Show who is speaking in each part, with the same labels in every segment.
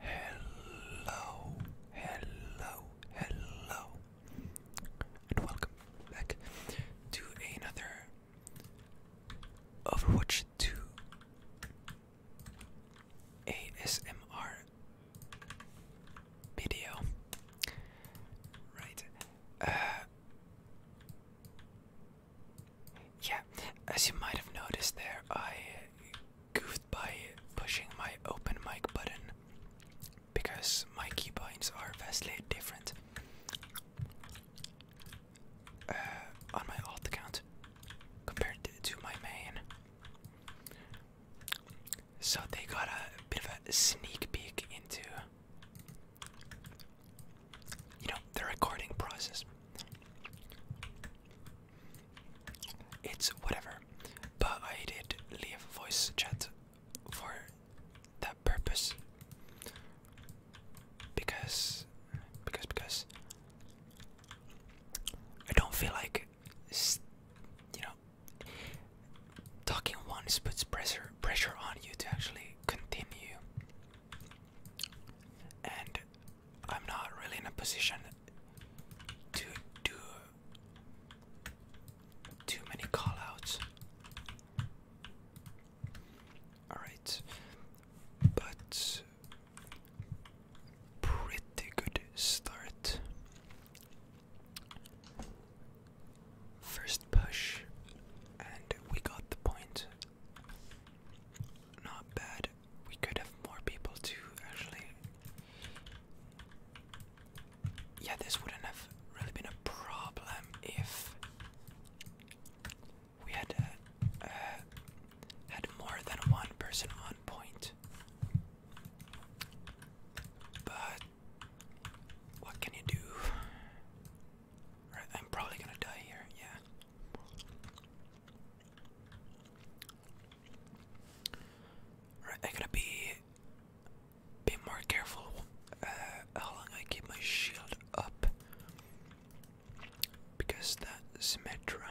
Speaker 1: Hello, hello, hello, and welcome back to another Overwatch 2 ASMR video. Right. Uh, yeah, as you might have noticed there, I goofed by pushing my open mic button because my keybinds are vastly different uh, on my alt account compared to my main. So they got a bit of a sneak peek into you know the recording process it's whatever. But I did leave voice chat for that purpose. Because because because I don't feel like you know talking once puts pressure pressure on you to actually continue. And I'm not really in a position to do too many callouts. Alright, but pretty good start. First push, and we got the point. Not bad. We could have more people too, actually. Yeah, this wouldn't have really been a problem if we had uh, uh, had more than one person on point. But what can you do? I'm probably gonna die here. Yeah. Right, I gotta be be more careful uh, how long I keep my shield up because that Symmetra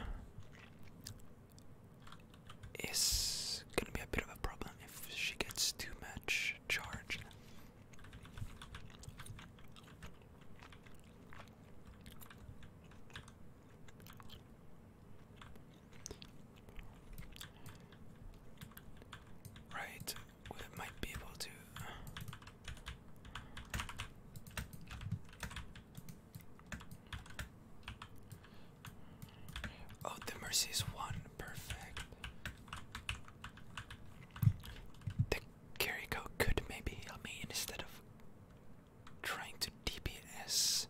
Speaker 1: is gonna be a bit of a problem if she gets too much charge. Right, we might be able to. Uh, oh, the mercy is one. Perfect. The Kiriko could maybe heal me instead of trying to DPS.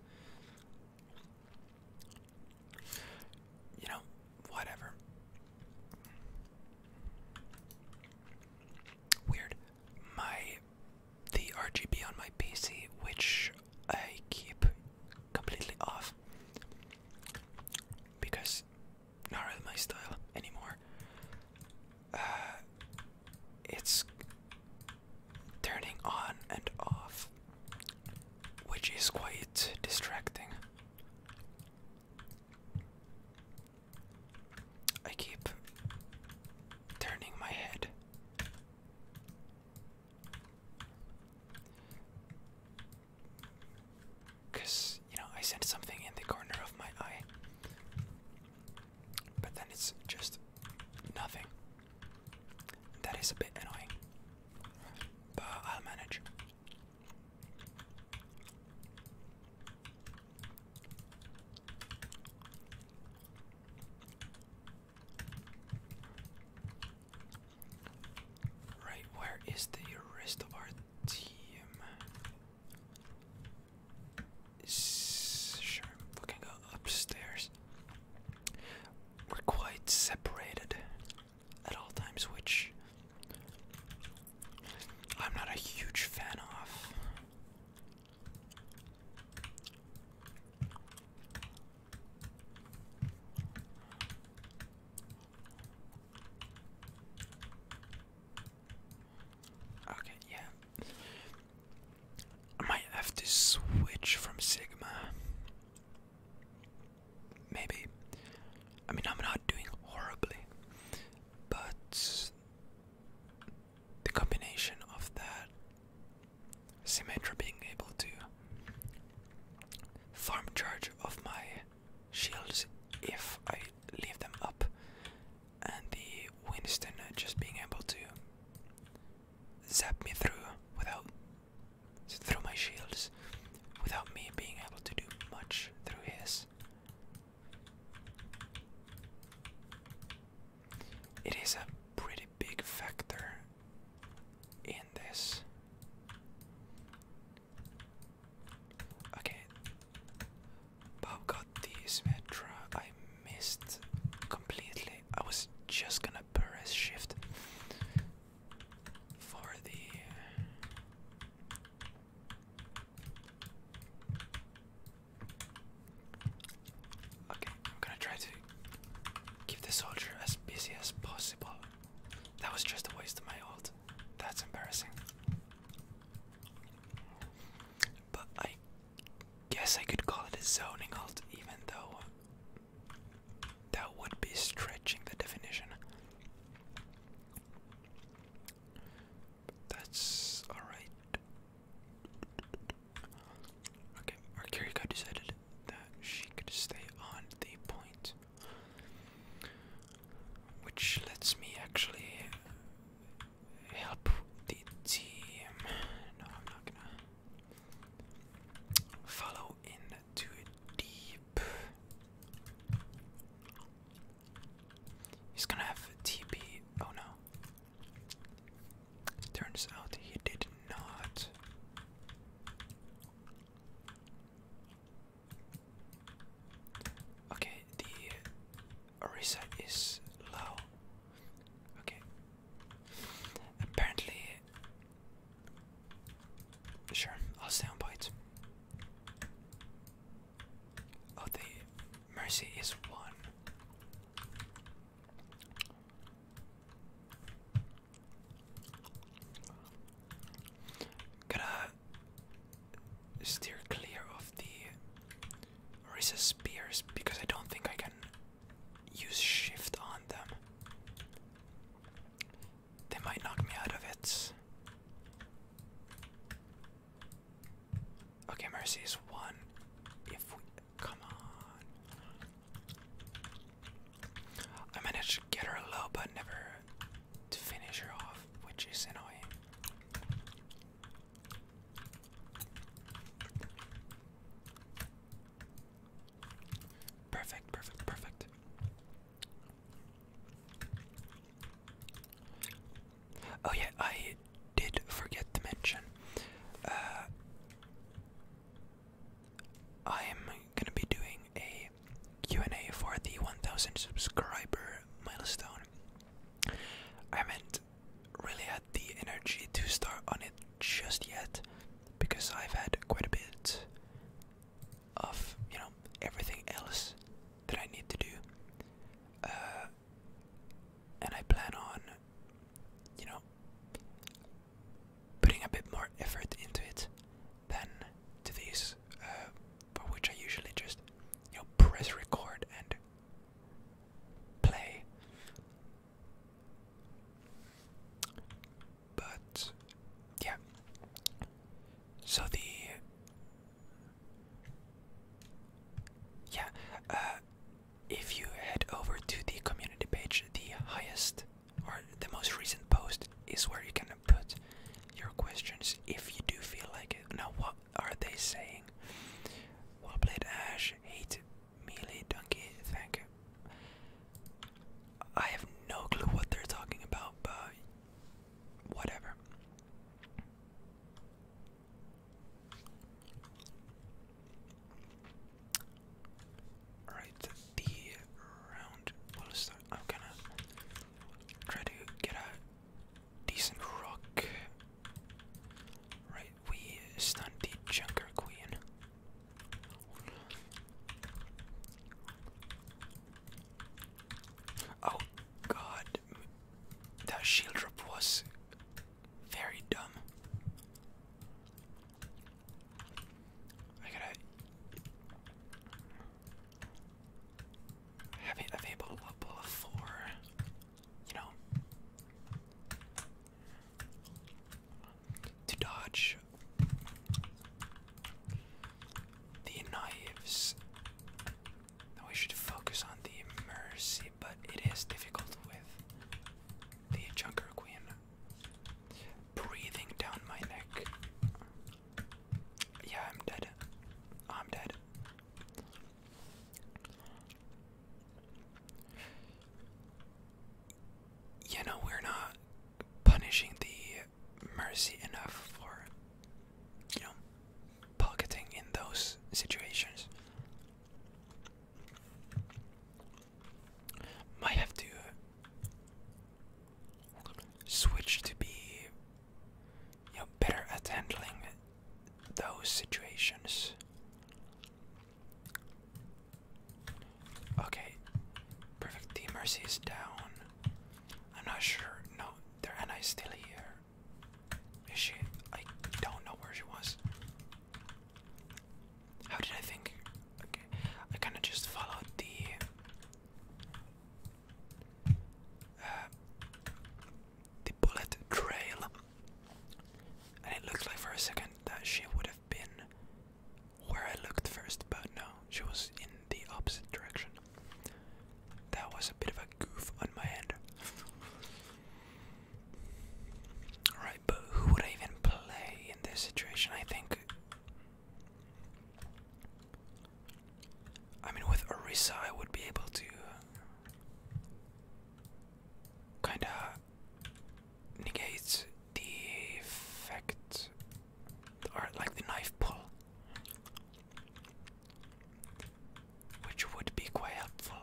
Speaker 1: You know, whatever. Weird. My the RGB on my PC, which I keep completely off because not really my style anymore. Uh, it's turning on and off, which is quite distracting. I keep turning my head. Because, you know, I sent something in the corner of my eye. But then it's just nothing. That is a bit annoying. But I'll manage. Right, where is the rest of our team. Sure, we can go upstairs. We're quite separated at all times, which I'm not a huge fan of. Okay, yeah. I might have to switch from Sigma. Maybe. I mean, I'm not doing horribly, but the combination of that Symmetra being able to farm charge of my shields if I leave them up, and the Winston just being able to zap me through without through my shields without me being able to do much through his. It is a pretty big factor in this. Okay. Bob got the Symmetra. I missed completely. I was just gonna press shift for the. Okay, I'm gonna try to keep the soldier as busy as possible. That was just a waste of my ult. That's embarrassing. But I guess I could call it a zoning halt, even though that would be stretching the definition. That's alright. Okay, our Kiriko decided that she could stay on the point. Which lets me actually help the team. No, I'm not gonna follow in deep. He's gonna have TP. Oh no. Turns out he did not. Okay, the Orisa is low. Okay. Apparently. Sure, I'll stay on point. Oh, Mercy is one. Gotta steer clear of the Orisa spears because I don't think I can use shift on them. They might knock me out of it. Okay, Mercy is one. If we come on, I managed to get her low, but never to finish her off, which is annoying. Perfect, perfect, perfect. Oh, yeah, I did forget to mention. Uh, I am gonna be doing a Q&A for the 1000 subscriber milestone. I haven't really had the energy to start on it just yet because I've had quite a bit of, you know, everything else that I need to do. Uh, and I plan on, you know, putting a bit more effort into it than to these, uh, for which I usually just, you know, press record and play. But yeah, so the yeah, uh, if you head over to the community page, the highest or the most recent post is where you can put your questions if you do feel like it. Now, what are they saying? Well played, Ash. Hate melee donkey. Thank you. I have no clue what they're talking about, but whatever. All right the round I'm gonna try to get a decent rock. Right, we stun the Junker Queen. Oh god, that shield drop was very dumb. I gotta. Having available for, you know, to dodge the knives. Now we should focus on the mercy, but it is difficult with the Junker Queen breathing down my neck. Yeah, I'm dead. I'm dead. You know, we're not punishing the mercy enough for, you know, pocketing in those situations. Might have to switch to be better at handling those situations. Okay, perfect. Team Mercy is down. I'm not sure. No, their Anna is still here. Is she? I don't know where she was. How did I think? I kind of just followed the uh, the bullet trail, and it looked like for a second that she would have been where I looked first, but no, she was in the opposite direction. That was a bit of a goof on my end. Alright, but who would I even play in this situation? I think I mean, with Orisa, I would be able to kind of negate the effect, or like the knife pull, which would be quite helpful.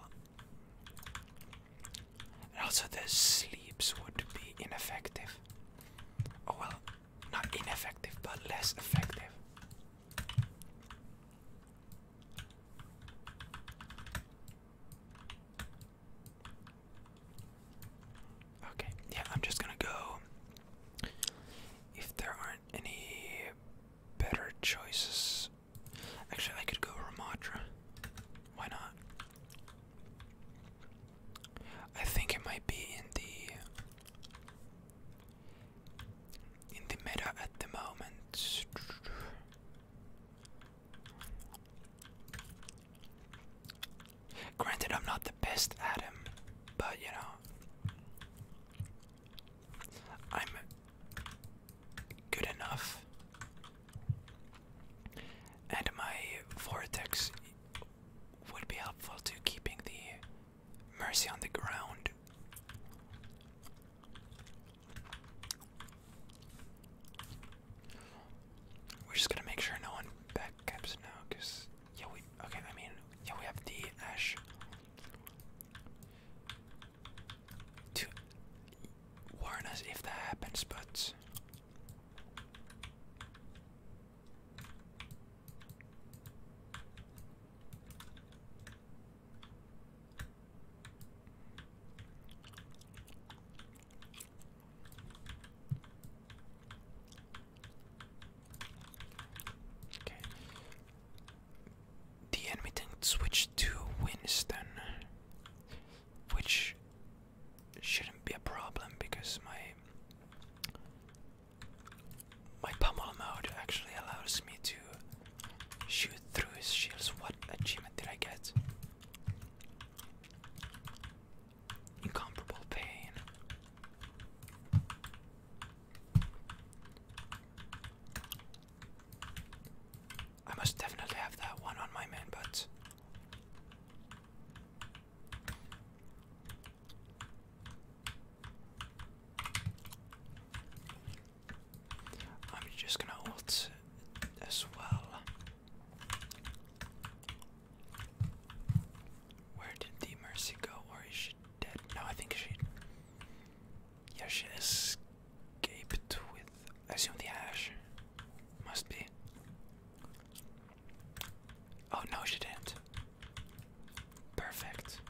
Speaker 1: And also the sleeps would be ineffective. Oh well, not ineffective, but less effective. Okay, yeah, I'm just gonna go. If there aren't any better choices. Actually, I could go Ramatra. Why not? I think it might be in the in the meta at the moment. Granted, I'm not the best at him, but you know, I'm good enough. And my vortex would be helpful to keeping the mercy on the ground. We're just gonna make sure no one backcaps now, cause yeah we okay, I mean yeah we have the ash. To warn us if that happens, but the enemy didn't switch to Winston, which shouldn't be a problem because my my pummel mode actually allows me to shoot through his shields. What achievement did I get? Incomparable pain. I must definitely have that one on my main but I'm just gonna ult as well. Where did the Mercy go? Or is she dead? No, I think she. Yeah, gaped with, I assume the ash. Must be. Oh no, she didn't. Perfect.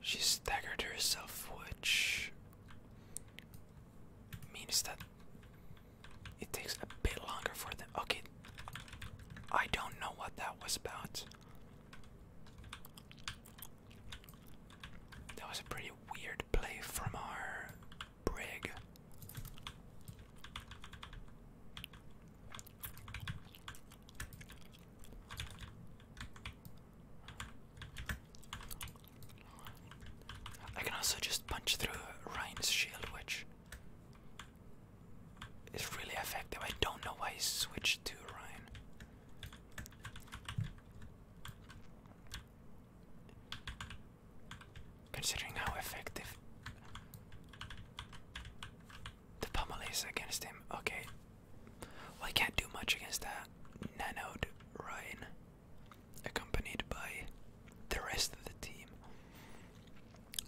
Speaker 1: She staggered herself, which means that it takes a bit longer for them. Okay, I don't know what that was about. That was a pretty weird play from our brig. I can also just punch through Ryan's shield, which it's really effective. I don't know why he switched to Ryan. Considering how effective the pummel is against him. Okay. Well, I can't do much against that nanoed Ryan, accompanied by the rest of the team.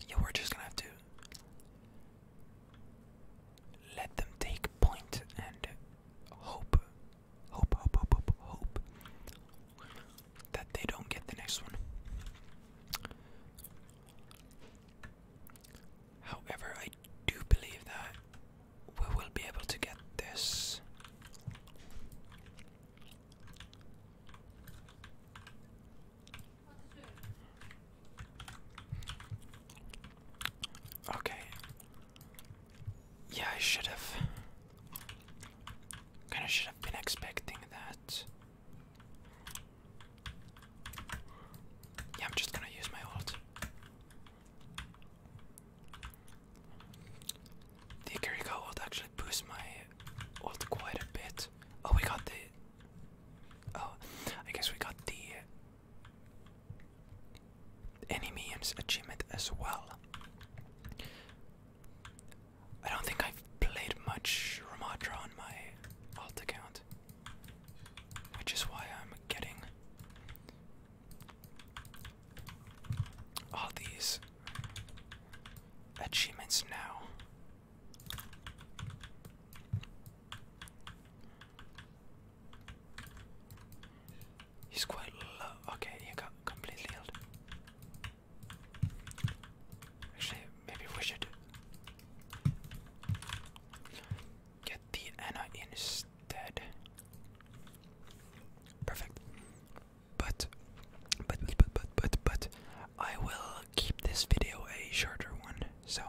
Speaker 1: Yeah, we're just gonna have to let them take point and hope, hope, hope, hope, hope that they don't get the next one. However, I do believe that we will be able to get this. Okay. Yeah, I should have. Kind of should have been expecting that. Yeah, I'm just gonna use my ult. The Kiriko ult actually boosts my ult quite a bit. Oh, we got the Oh, I guess we got the enemy achievement as well. I don't think I've played much Ramatra on my alt account, which is why I'm getting all these achievements now. He's quite low. Okay, he got completely healed. Actually, maybe we should get the Anna instead. Perfect. But, but, but, but, but, but, I will keep this video a shorter one. So,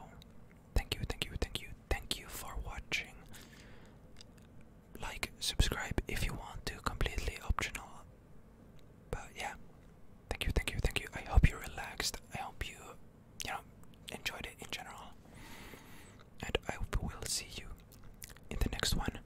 Speaker 1: thank you, thank you, thank you, thank you for watching. Like, subscribe if you want to, completely optional. But yeah, thank you, thank you, thank you. I hope you relaxed. I hope you, you know, enjoyed it in general. And I will see you in the next one.